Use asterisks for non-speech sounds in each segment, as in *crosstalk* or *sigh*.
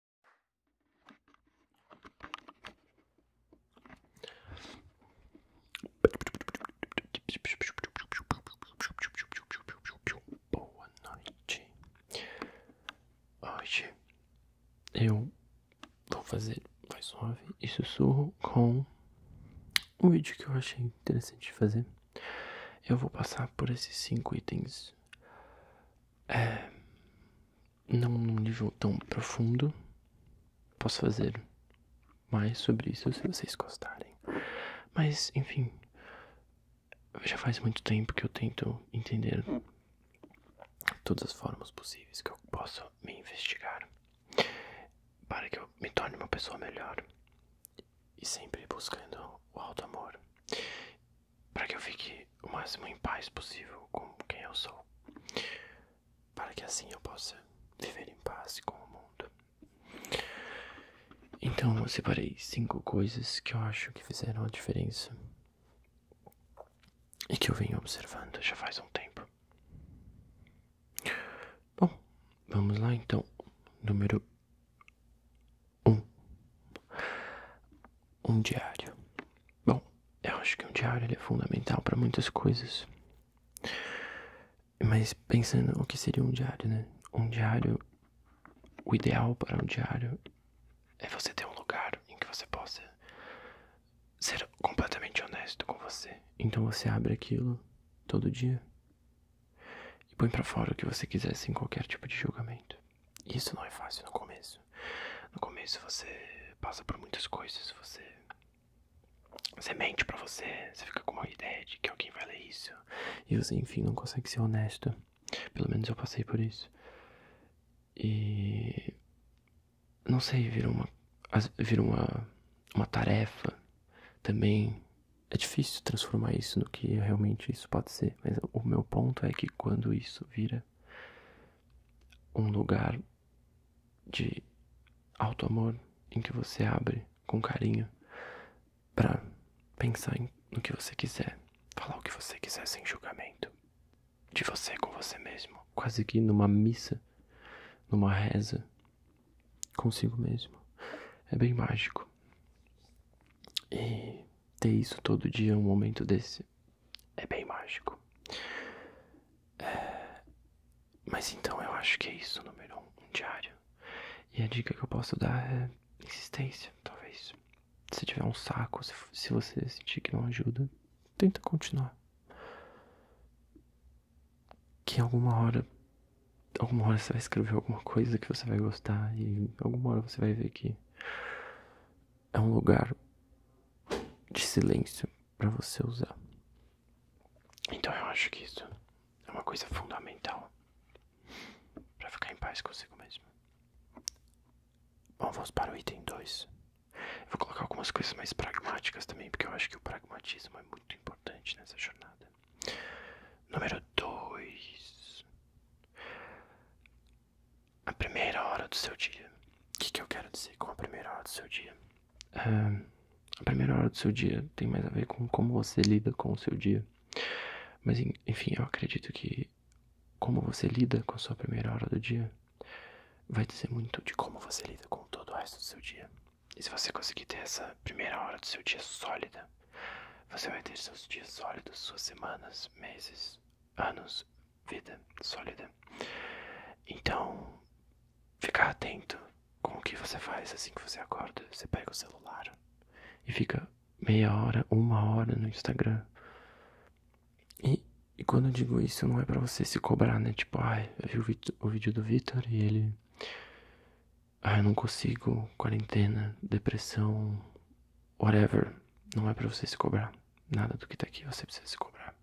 Boa noite. Hoje eu vou fazer mais suave e sussurro com um vídeo que eu achei interessante de fazer. Eu vou passar por esses cinco itens é, não num nível tão profundo. Posso fazer mais sobre isso se vocês gostarem. Mas, enfim, já faz muito tempo que eu tento entender todas as formas possíveis que eu posso me investigar para que eu me torne uma pessoa melhor e sempre buscando o alto amor para que eu fique o máximo em paz possível com quem eu sou, para que assim eu possa viver em paz com o mundo. Então eu separei cinco coisas que eu acho que fizeram a diferença e que eu venho observando já faz um tempo. Bom, vamos lá então. Número um, um diário. Bom, eu acho que um diário ele é fundamental para muitas coisas. Mas pensando o que seria um diário, né? Um diário, o ideal para um diário é você ter um lugar em que você possa ser completamente honesto com você. Então você abre aquilo todo dia e põe para fora o que você quiser sem qualquer tipo de julgamento. Isso não é fácil no começo. No começo você passa por muitas coisas, você você mente pra você, você fica com uma ideia de que alguém vai ler isso. E você, enfim, não consegue ser honesto. Pelo menos eu passei por isso. E. Não sei, virou uma. Virou uma, uma tarefa. Também é difícil transformar isso no que realmente isso pode ser. Mas o meu ponto é que quando isso vira um lugar de alto amor em que você abre com carinho para pensar no que você quiser, falar o que você quiser sem julgamento, de você com você mesmo, quase que numa missa, numa reza consigo mesmo. É bem mágico ter isso todo dia, um momento desse, é bem mágico. É, mas então eu acho que é isso, número um, um diário. E a dica que eu posso dar é insistência, talvez. Se tiver um saco, se, se você sentir que não ajuda, tenta continuar. Que em alguma hora alguma hora você vai escrever alguma coisa que você vai gostar e alguma hora você vai ver que é um lugar de silêncio para você usar. Então eu acho que isso é uma coisa fundamental para ficar em paz consigo mesmo. Bom, vamos para o item 2. Vou colocar algumas coisas mais pragmáticas também, porque eu acho que o pragmatismo é muito importante nessa jornada. Número 2 a primeira hora do seu dia. O que, que eu quero dizer com a primeira hora do seu dia? a primeira hora do seu dia tem mais a ver com como você lida com o seu dia. Mas enfim, eu acredito que como você lida com a sua primeira hora do dia vai dizer muito de como você lida com todo o resto do seu dia. E se você conseguir ter essa primeira hora do seu dia sólida, você vai ter seus dias sólidos, suas semanas, meses, anos, vida sólida. Então, ficar atento com o que você faz assim que você acorda. Você pega o celular e fica meia hora, uma hora no Instagram. E, quando eu digo isso, não é para você se cobrar, né? Tipo, ai, ah, eu vi o vídeo do Victor e ele. Ah, eu não consigo, quarentena, depressão, whatever, não é para você se cobrar. Nada do que tá aqui você precisa se cobrar.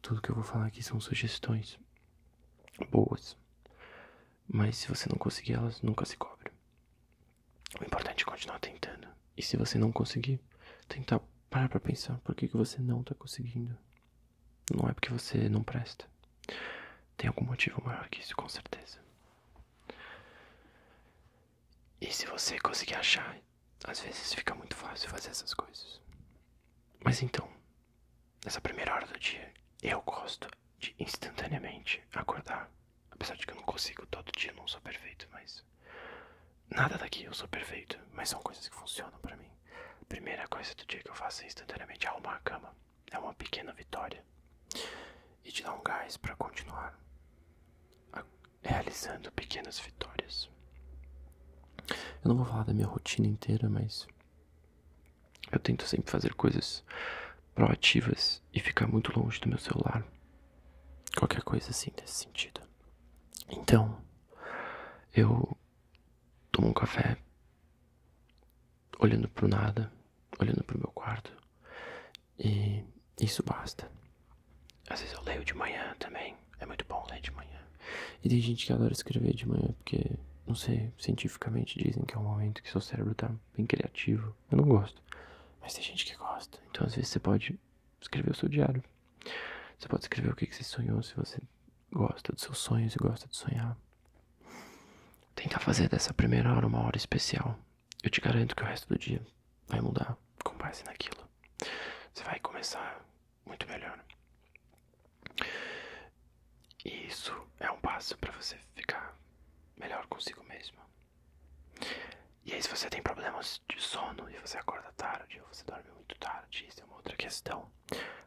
Tudo que eu vou falar aqui são sugestões boas. Mas se você não conseguir elas, nunca se cobre. O importante é continuar tentando. E se você não conseguir, tentar parar pra pensar por que, que você não tá conseguindo. Não é porque você não presta. Tem algum motivo maior que isso, com certeza. E se você conseguir achar, às vezes fica muito fácil fazer essas coisas. Mas então, nessa primeira hora do dia, eu gosto de instantaneamente acordar. Apesar de que eu não consigo todo dia, não sou perfeito, mas. Nada daqui eu sou perfeito, mas são coisas que funcionam para mim. A primeira coisa do dia que eu faço é instantaneamente arrumar a cama. É uma pequena vitória e te dá um gás para continuar realizando pequenas vitórias. Eu não vou falar da minha rotina inteira, mas eu tento sempre fazer coisas proativas e ficar muito longe do meu celular. Qualquer coisa assim nesse sentido. Então, eu tomo um café olhando para o nada olhando pro meu quarto. E isso basta. Às vezes eu leio de manhã também. É muito bom ler de manhã. E tem gente que adora escrever de manhã porque, não sei, cientificamente dizem que é um momento que seu cérebro está bem criativo. Eu não gosto. Mas tem gente que gosta. Então às vezes você pode escrever o seu diário. Você pode escrever o que, você sonhou, se você gosta dos seus sonhos e gosta de sonhar. Tentar fazer dessa primeira hora uma hora especial eu te garanto que o resto do dia vai mudar com base naquilo. Você vai começar muito melhor. E isso é um passo para você ficar melhor consigo mesmo. E aí, se você tem problemas de sono e você acorda tarde ou você dorme muito tarde, isso é uma outra questão.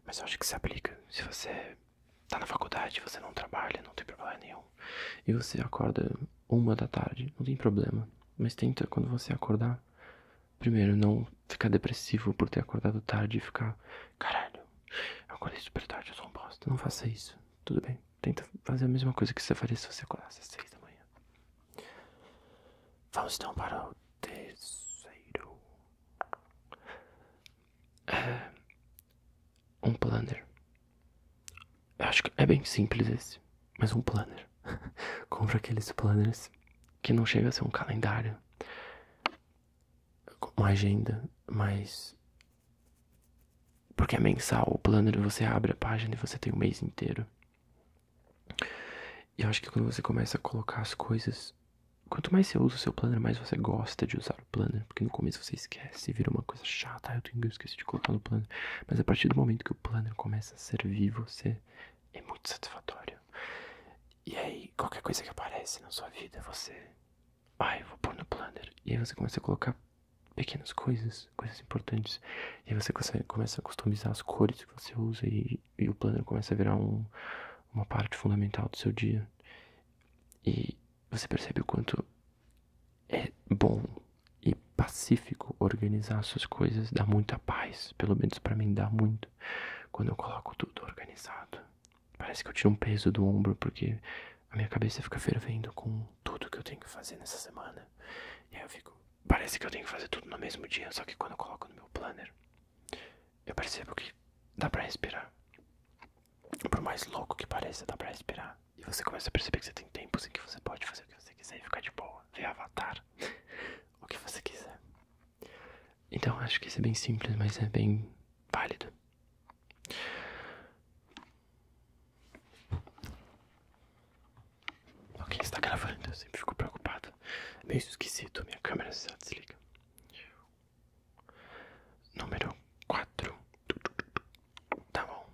Mas eu acho que se aplica. Se você está na faculdade, você não trabalha, não tem problema nenhum e você acorda uma da tarde, não tem problema. Mas tenta quando você acordar, primeiro não ficar depressivo por ter acordado tarde e ficar, caralho, eu acordei super tarde, eu sou um bosta. Não faça isso, tudo bem. Tenta fazer a mesma coisa que você faria se você acordasse às seis da manhã. Vamos então para o terceiro. É, um planner. Eu acho que é bem simples esse, mas um planner. *laughs* Compra aqueles planners que não chega a ser um calendário, uma agenda, mas porque é mensal, o planner você abre a página e você tem o mês inteiro. E eu acho que quando você começa a colocar as coisas, quanto mais você usa o seu planner, mais você gosta de usar o planner, porque no começo você esquece, e vira uma coisa chata, eu, tenho, eu esqueci de colocar no planner. Mas a partir do momento que o planner começa a servir você, é muito satisfatório. E aí, qualquer coisa que aparece na sua vida, você. Ai, eu vou pôr no planner. E aí você começa a colocar pequenas coisas, coisas importantes. E aí você começa a customizar as cores que você usa e, o planner começa a virar uma parte fundamental do seu dia. E você percebe o quanto é bom e pacífico organizar suas coisas, dá muita paz, pelo menos para mim dá muito quando eu coloco tudo organizado. Parece que eu tiro um peso do ombro porque a minha cabeça fica fervendo com tudo que eu tenho que fazer nessa semana. E aí eu fico, parece que eu tenho que fazer tudo no mesmo dia, só que quando eu coloco no meu planner, eu percebo que dá para respirar. Por mais louco que pareça, dá para respirar. E você começa a perceber que você tem tempo em que você pode fazer o que você quiser e ficar de boa, ver Avatar, *laughs* o que você quiser. Então acho que isso é bem simples, mas é bem válido. Ok, está gravando, eu sempre fico preocupado. É meio esquisito, minha câmera se desliga. Número 4. Tá bom.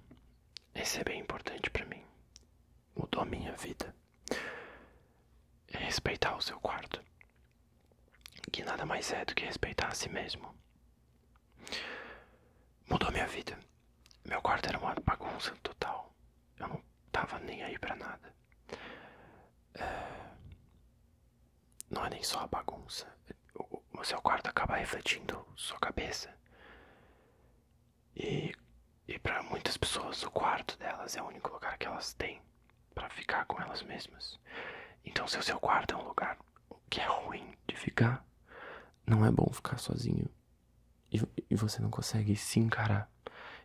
Esse é bem importante para mim. Mudou a minha vida. É respeitar o seu quarto. Que nada mais é do que respeitar a si mesmo. Mudou minha vida. Meu quarto era uma bagunça total. Eu não tava nem aí pra nada. É, não é nem só a bagunça, o seu quarto acaba refletindo sua cabeça. E, e para muitas pessoas, o quarto delas é o único lugar que elas têm para ficar com elas mesmas. Então, se o seu quarto é um lugar que é ruim de ficar, não é bom ficar sozinho. E, e você não consegue se encarar.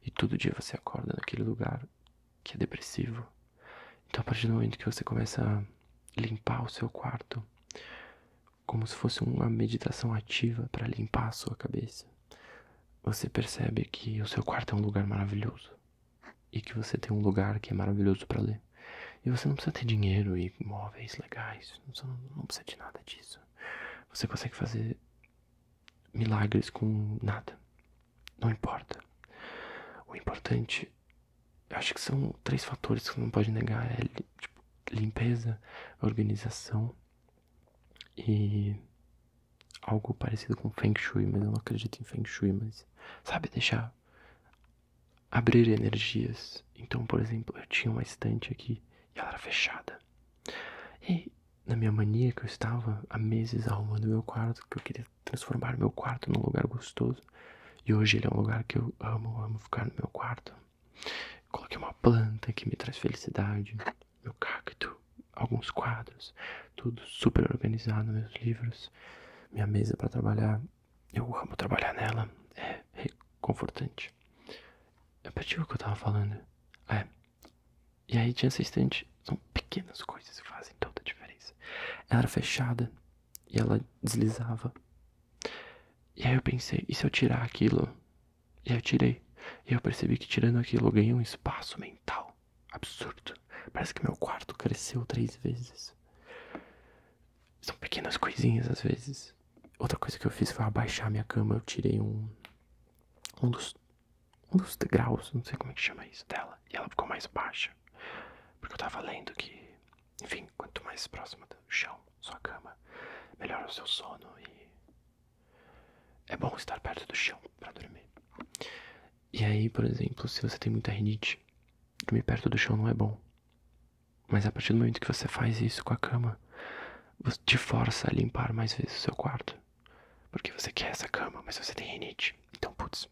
E todo dia você acorda naquele lugar que é depressivo. Então, a partir do momento que você começa a limpar o seu quarto, como se fosse uma meditação ativa para limpar a sua cabeça. Você percebe que o seu quarto é um lugar maravilhoso e que você tem um lugar que é maravilhoso para ler. E você não precisa ter dinheiro e móveis legais, você não, não precisa de nada disso. Você consegue fazer milagres com nada. Não importa. O importante gente, acho que são três fatores que não pode negar: é, tipo, limpeza, organização e algo parecido com Feng Shui, mas eu não acredito em Feng Shui, mas sabe deixar abrir energias. Então, por exemplo, eu tinha uma estante aqui e ela era fechada. E na minha mania que eu estava há meses arrumando meu quarto, que eu queria transformar meu quarto num lugar gostoso, e hoje ele é um lugar que eu amo, amo ficar no meu quarto. Coloquei uma planta que me traz felicidade, meu cacto, alguns quadros, tudo super organizado, meus livros, minha mesa para trabalhar. Eu amo trabalhar nela, é reconfortante. É o que eu tava falando. É. E aí tinha essa estante, são pequenas coisas que fazem toda a diferença. Ela era fechada e ela deslizava e aí eu pensei, e se eu tirar aquilo? E aí eu tirei. E eu percebi que tirando aquilo eu ganhei um espaço mental. Absurdo. Parece que meu quarto cresceu três vezes. São pequenas coisinhas às vezes. Outra coisa que eu fiz foi abaixar minha cama. Eu tirei um. Um dos. Um dos degraus, não sei como é que chama isso, dela. E ela ficou mais baixa. Porque eu tava lendo que enfim, quanto mais próximo do chão, sua cama, melhor o seu sono e é bom estar perto do chão para dormir. E aí, por exemplo, se você tem muita rinite, dormir perto do chão não é bom. Mas a partir do momento que você faz isso com a cama, você te força a limpar mais vezes o seu quarto. Porque você quer essa cama, mas você tem rinite. Então, putz,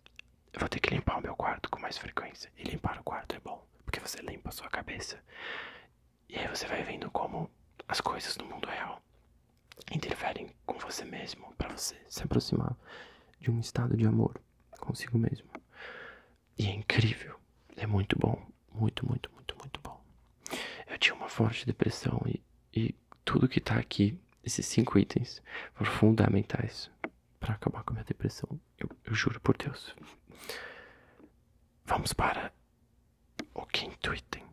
eu vou ter que limpar o meu quarto com mais frequência. E limpar o quarto é bom, porque você limpa a sua cabeça. E aí você vai vendo como as coisas do mundo real interferem com você mesmo para você se aproximar de um estado de amor consigo mesmo. E é incrível, é muito bom, muito, muito, muito, muito bom. Eu tinha uma forte depressão e, e tudo que tá aqui, esses cinco itens, foram fundamentais para acabar com a minha depressão. Eu, juro por Deus. Vamos para o quinto item.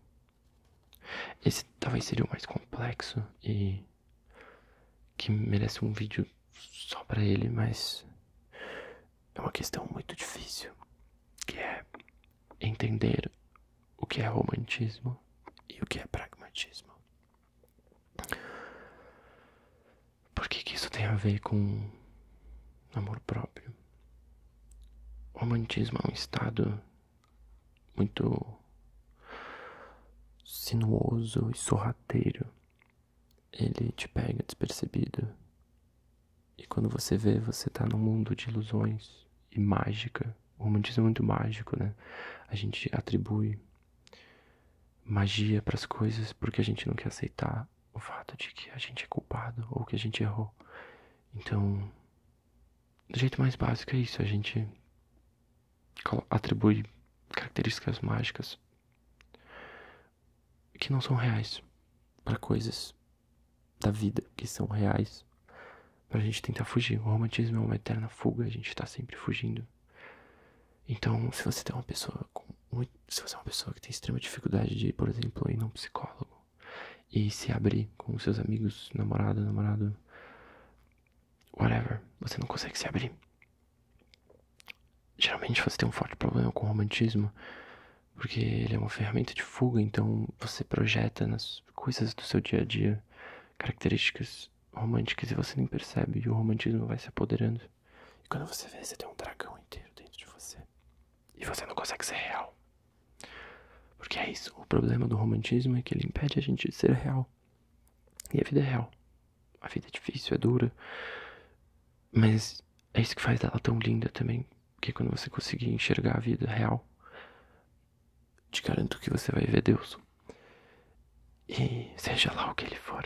Esse talvez seria o mais complexo e que merece um vídeo só para ele, mas é uma questão muito difícil, que é entender o que é romantismo e o que é pragmatismo. Por que, isso tem a ver com amor próprio? O romantismo é um estado muito sinuoso e sorrateiro. Ele te pega despercebido. E quando você vê, você está num mundo de ilusões e mágica. O romantismo é muito mágico, né? A gente atribui magia para as coisas porque a gente não quer aceitar o fato de que a gente é culpado ou que a gente errou. Então, do jeito mais básico é isso, a gente atribui características mágicas que não são reais para coisas da vida que são reais para a gente tentar fugir. O romantismo é uma eterna fuga, a gente está sempre fugindo então, se você tem uma pessoa se você é uma pessoa que tem extrema dificuldade de, por exemplo, ir num psicólogo e se abrir com seus amigos, namorada, namorado, whatever, você não consegue se abrir. Geralmente você tem um forte problema com o romantismo, porque ele é uma ferramenta de fuga, então você projeta nas coisas do seu dia a dia características românticas e você nem percebe, e o romantismo vai se apoderando. E quando você vê, você tem um dragão inteiro dentro de você. E você não consegue ser real. Porque é isso. O problema do romantismo é que ele impede a gente de ser real. E a vida é real. A vida é difícil, é dura. Mas é isso que faz ela tão linda também. Porque é quando você conseguir enxergar a vida real, te garanto que você vai ver Deus. E seja lá o que ele for.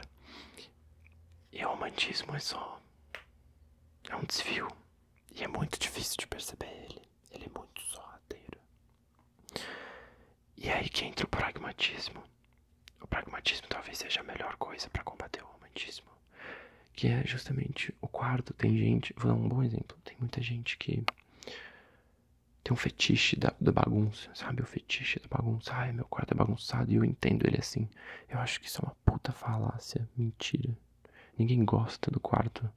E o romantismo é só. É um desvio. E é muito difícil de perceber ele. Ele é muito sorrateiro. E é aí que entra o pragmatismo. O pragmatismo talvez seja a melhor coisa para combater o romantismo. Que é justamente o quarto. Tem gente. Vou dar um bom exemplo. Tem muita gente que tem um fetiche da bagunça sabe? O fetiche da tá bagunça. Ai, meu quarto é bagunçado e eu entendo ele assim. Eu acho que isso é uma puta falácia. Mentira. Ninguém gosta do quarto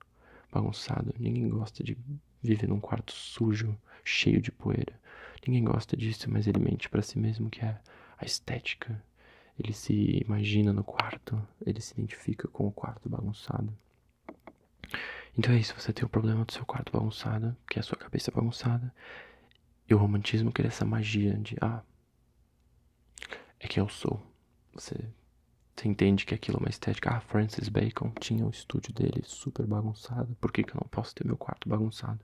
bagunçado. Ninguém gosta de viver num quarto sujo, cheio de poeira. Ninguém gosta disso, mas ele mente para si mesmo que é a estética. Ele se imagina no quarto, ele se identifica com o quarto bagunçado. Então é isso, você tem o problema do seu quarto bagunçado, que é a sua cabeça bagunçada, e o romantismo cria essa magia de, ah, é que eu sou. Você, você entende que aquilo é uma estética. Ah, Francis Bacon tinha o estúdio dele super bagunçado, por que, que eu não posso ter meu quarto bagunçado?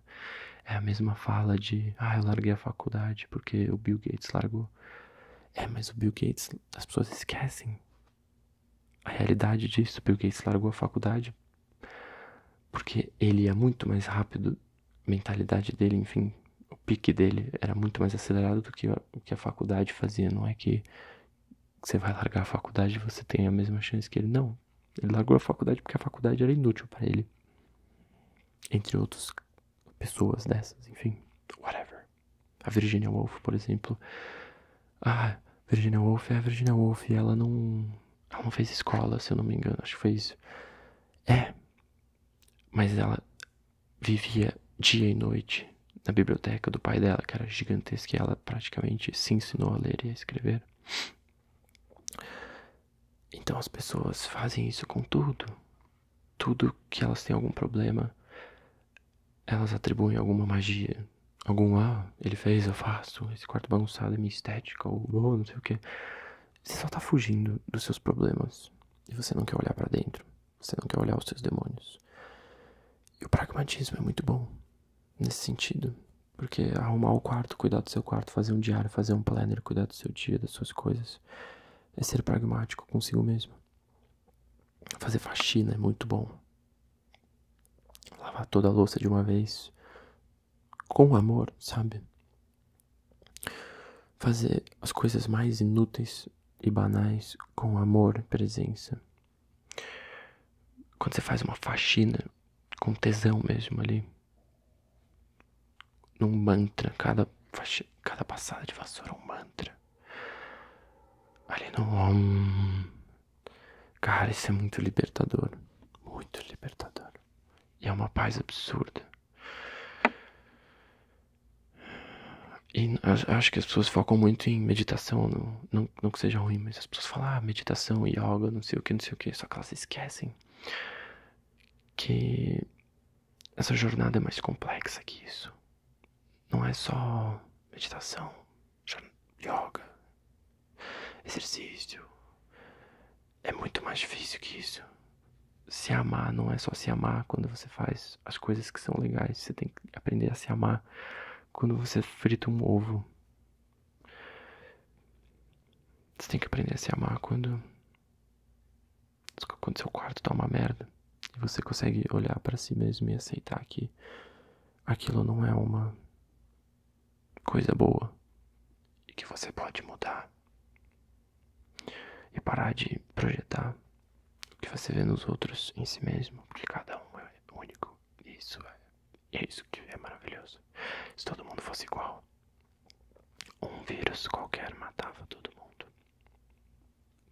É a mesma fala de, ah, eu larguei a faculdade porque o Bill Gates largou. É, mas o Bill Gates, as pessoas esquecem a realidade disso. o Bill Gates largou a faculdade porque ele é muito mais rápido, a mentalidade dele, enfim, o pique dele era muito mais acelerado do que a, que a faculdade fazia. Não é que você vai largar a faculdade e você tem a mesma chance que ele. Não. Ele largou a faculdade porque a faculdade era inútil para ele. Entre outras pessoas dessas, enfim, whatever. A Virginia Woolf, por exemplo. Ah, Virginia Woolf é a Virginia Woolf e ela não, ela não fez escola, se eu não me engano, acho que foi isso. É, mas ela vivia dia e noite na biblioteca do pai dela, que era gigantesca, e ela praticamente se ensinou a ler e a escrever. Então as pessoas fazem isso com tudo. Tudo que elas têm algum problema, elas atribuem alguma magia, algum ah, ele fez, eu faço, esse quarto bagunçado é minha estética, ou não sei o que. Você só tá fugindo dos seus problemas. E você não quer olhar para dentro. Você não quer olhar os seus demônios. E o pragmatismo é muito bom nesse sentido. Porque arrumar o quarto, cuidar do seu quarto, fazer um diário, fazer um planner, cuidar do seu dia, das suas coisas, é ser pragmático consigo mesmo. Fazer faxina é muito bom. Lavar toda a louça de uma vez, com amor, sabe? Fazer as coisas mais inúteis e banais com amor, presença. Quando você faz uma faxina com tesão mesmo ali, num mantra, cada, cada passada de vassoura é um mantra. Ali no Cara, isso é muito libertador. Muito libertador. E é uma paz absurda. E acho que as pessoas focam muito em meditação, não, não, que seja ruim, mas as pessoas falam, ah, meditação, yoga, não sei o que, não sei o que, só que elas esquecem que essa jornada é mais complexa que isso. Não é só meditação, yoga, exercício. É muito mais difícil que isso. Se amar não é só se amar quando você faz as coisas que são legais. Você tem que aprender a se amar quando você frita um ovo. Você tem que aprender a se amar quando. Quando seu quarto tá uma merda. E você consegue olhar para si mesmo e aceitar que aquilo não é uma coisa boa e que você pode mudar e parar de projetar o que você vê nos outros em si mesmo, porque cada um é único. isso é, é isso que é maravilhoso. Se todo mundo fosse igual, um vírus qualquer matava todo mundo.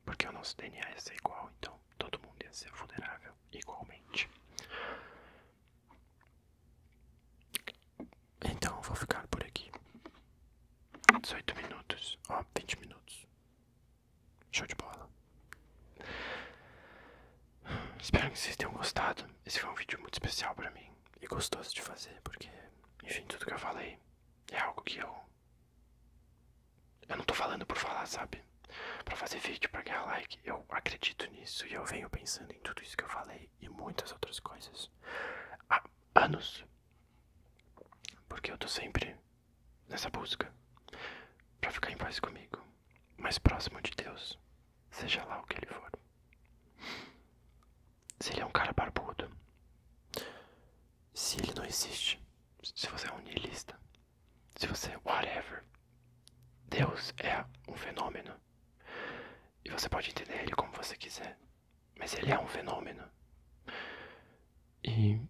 Porque o nosso DNA ia ser igual, então todo mundo ia ser vulnerável igualmente. Então vou ficar por aqui. 18 minutos, ó, oh, 20 minutos. Show de bola. Espero que vocês tenham gostado. Esse foi um vídeo muito especial para mim e gostoso de fazer, porque, enfim, tudo que eu falei é algo que eu. Eu não tô falando por falar, sabe? para fazer vídeo, para ganhar like. Eu acredito nisso e eu venho pensando em tudo isso que eu falei e muitas outras coisas há anos. Porque eu tô sempre nessa busca para ficar em paz comigo, mais próximo de Deus, seja lá o que ele for. Se ele é um cara barbudo, se ele não existe, se você é um niilista, se você é whatever, Deus é um fenômeno. E você pode entender ele como você quiser. Mas ele é um fenômeno. E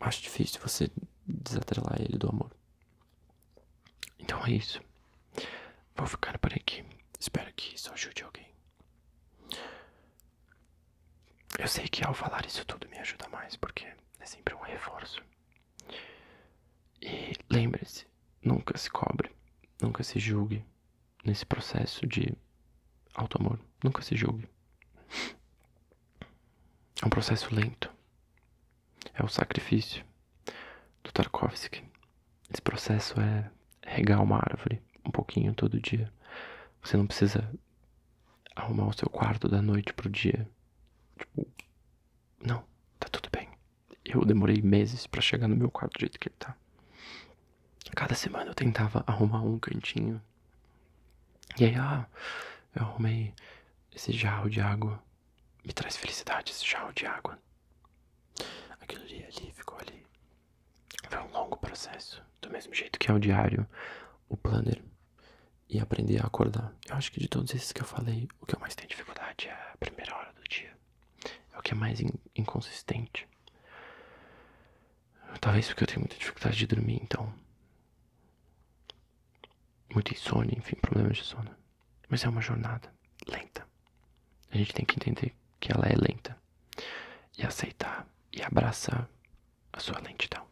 acho difícil você desatrelar ele do amor. Então é isso. Vou ficar por aqui. Espero que isso ajude alguém. Eu sei que ao falar isso tudo me ajuda mais, porque é sempre um reforço. E lembre-se, nunca se cobre, nunca se julgue nesse processo de alto amor, nunca se julgue. É um processo lento. É o sacrifício do Tarkovsky. Esse processo é regar uma árvore um pouquinho todo dia. Você não precisa arrumar o seu quarto da noite para o dia. Tipo, não, tá tudo bem. Eu demorei meses para chegar no meu quarto do jeito que ele tá. Cada semana eu tentava arrumar um cantinho. E aí, ah, eu arrumei esse jarro de água. Me traz felicidade esse jarro de água. Aquilo ali, ali, ficou ali. Foi um longo processo. Do mesmo jeito que é o diário, o planner e aprender a acordar. Eu acho que de todos esses que eu falei, o que eu mais tenho dificuldade é a primeira hora do dia. É o que é mais inconsistente. Talvez porque eu tenho muita dificuldade de dormir, então. Muita insônia, enfim, problemas de sono. Mas é uma jornada lenta. A gente tem que entender que ela é lenta. E aceitar e abraçar a sua lentidão.